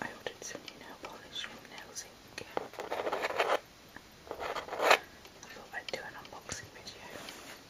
I ordered some new nail polish from Nails I thought I'd do an unboxing video.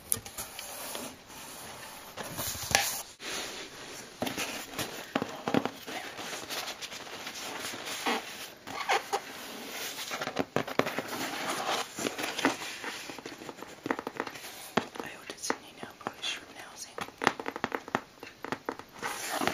I ordered some new nail polish from Nailsing. I don't mix it.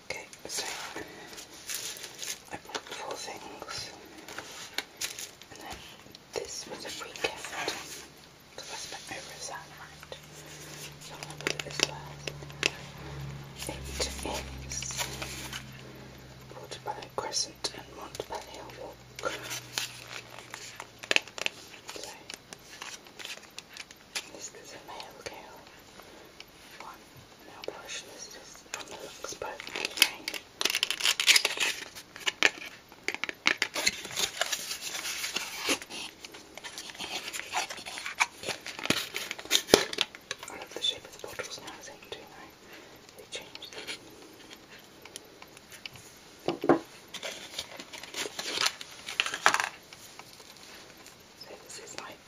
Okay, so I bought four things, and then this was a free gift because I spent over a certain So i this first. It is Waterbury Crescent and Montpellier Walk. This is a male cow one. Now brush this just from the looks but anyway. I love the shape of the bottles now, as I can do now. They changed them. So this is like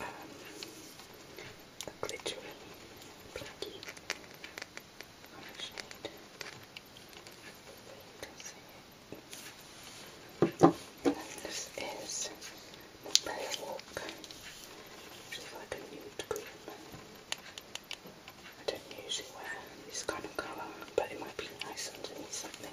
um, a glittery blacky on a shade. You can see it. And this is Prayer Walk, which like a nude green. I don't usually wear this kind of colour, but it might be nice underneath something.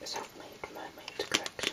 This is Handmade Mermaid Collection.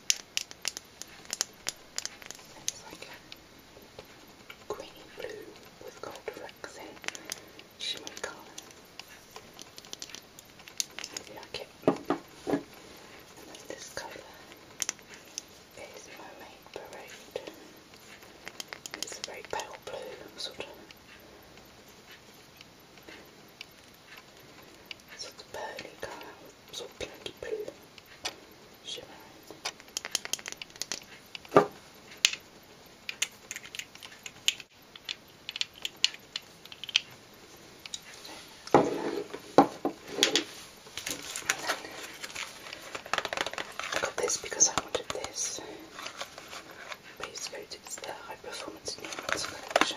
It's like a greeny blue with gold flecks in shimmery colour. I like it. And then this colour is Mermaid Parade. It's a very pale blue sort of sort of pearly colour so pink bleu schimmernd. I got this because I wanted this. Base coat, it's the high performance neon collection.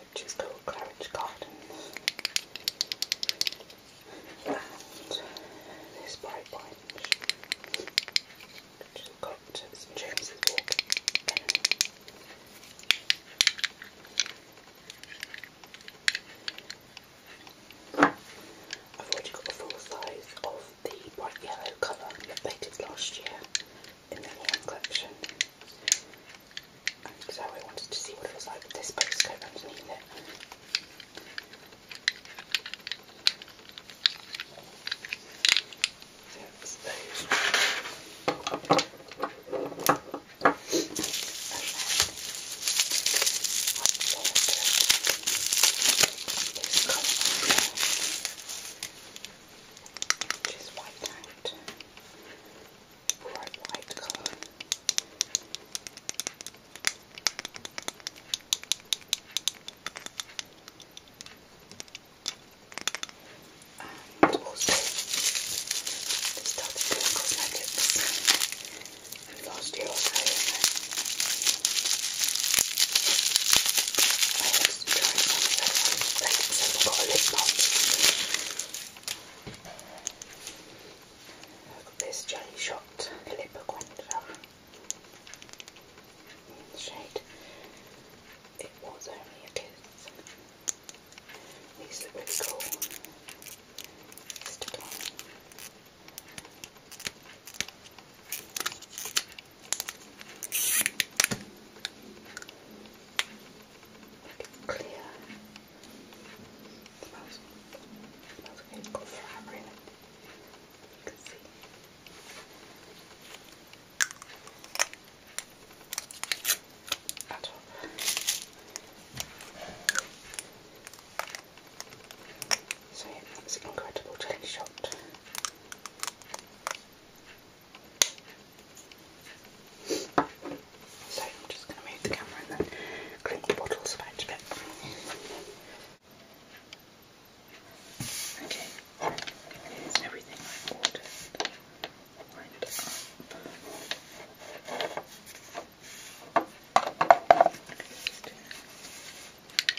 which is called Claridge Gardens. And this bright orange, which got St James's I've already got a full size of the bright yellow colour that they did last year in the lawn collection. so I wanted to see what it was like with this postcode underneath it which is wiped out, bright white colour. And also, they started doing cosmetics last year or so, Look at this jelly shot Calipaquenta in the shade. It was only a kiss. These look really cool. Stick on. Clear. It smells, it smells okay. It's got flour in it. You can see. At all. So yeah, it's an incredible jelly shot. So I'm just going to move the camera and then clean the bottles about a bit. Okay, here's everything I've ordered. Lined up. Okay,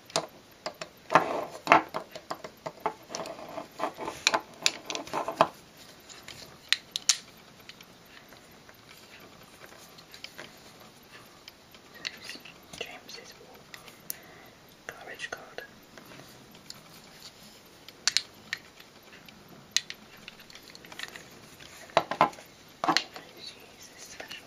James, James's wall. Garbage card. She is special.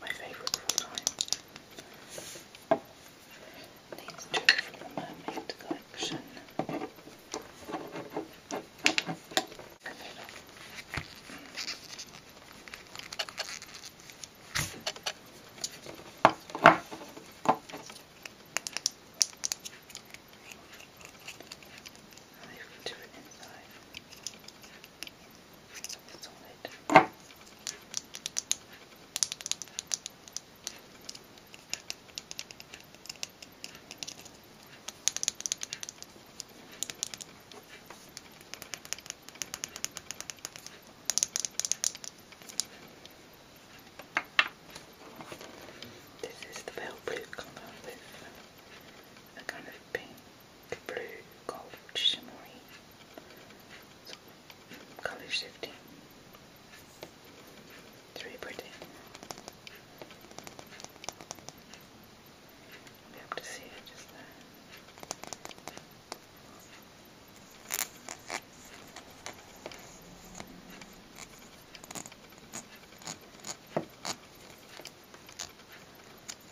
my favourite of all time. These two from the Mermaid collection. They've written inside. This is the pale blue color with a kind of pink blue gold shimmery, colour shifting. It's pretty. you be able to see it just there.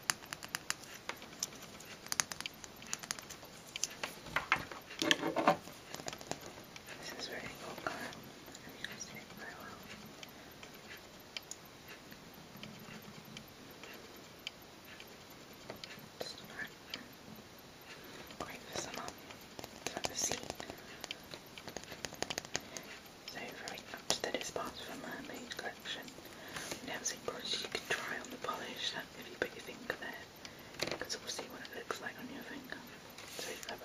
This is really cool color. I'm using it very well. Just not quite visible from the sea. So very much to the dispatch from my main collection. Now have some products you can try on the polish that if you put your finger there, you can sort of see what it looks like on your finger. So clever.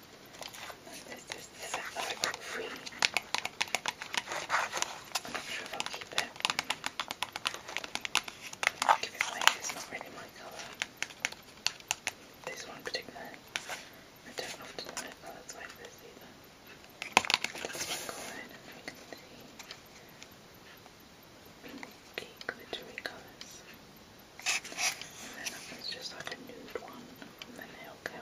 This, this, this is like free. I'm not sure if I'll keep it. I'll give it away. It's not really my colour. This one in particular. I don't often wear colours like this either. That's my colour. I don't know if you can see. Pinky glittery colours. And then it's just like a nude one from the nail gel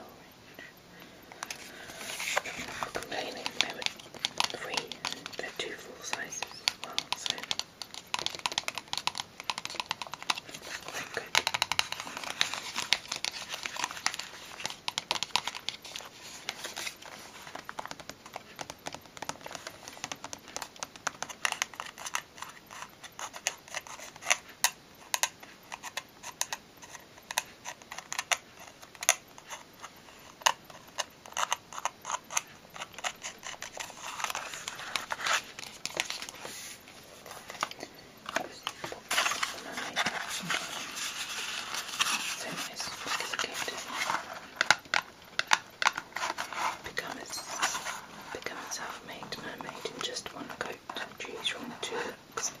range. I'm complaining they were free and they're two full sizes as well, so quite good. So nice because it came to become, its, become itself made mermaid in just one go coat choose from the tulips,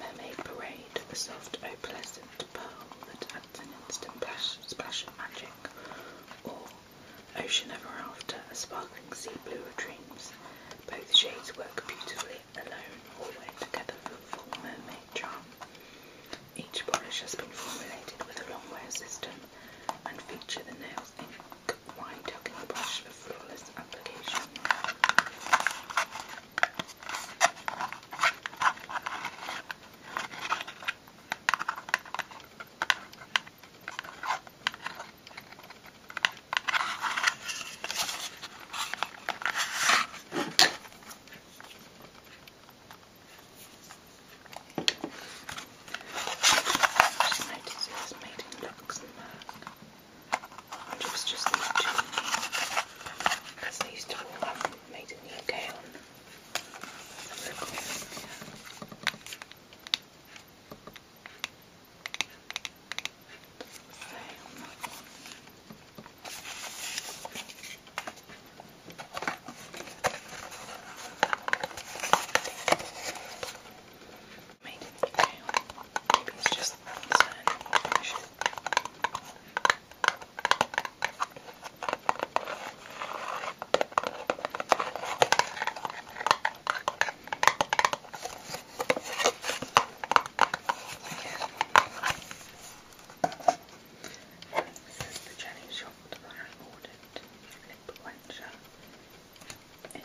mermaid parade, the soft opalescent pearl that adds an instant splash, of magic, or ocean ever after, a sparkling sea blue of dreams. Both shades work beautifully alone or when together for full mermaid charm. Each polish has been formulated with a long wear system and feature the nails in a wide tucking brush for flawless application. Just notice it was made in Luxembourg. And it was just these two, as they used to call them, made in the UK on. Let's have a look on so, on that one made in the UK. Maybe it's just certain information. Again. This is the jelly shop that I ordered. Lip quencher. It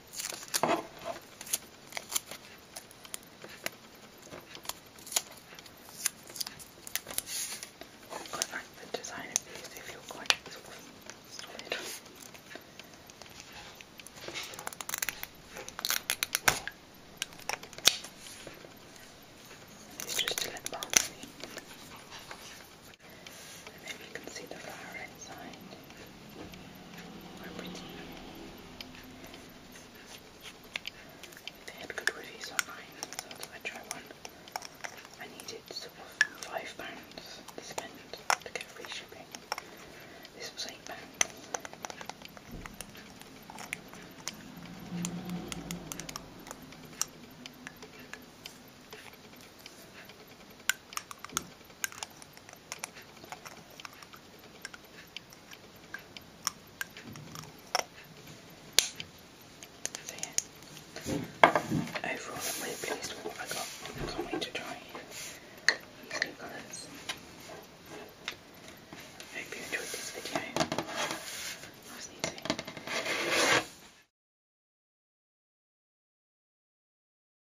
I like the design of these, they feel quite sort of solid. It's just a lip balm, maybe you can see the flower inside. Or pretty. They had good reviews online, so I tried one. I needed sort of five pounds to spend to get free shipping. This was eight pounds overall I'm really pleased with what I got. can't wait to try these hope you enjoyed this video. Nice and easy.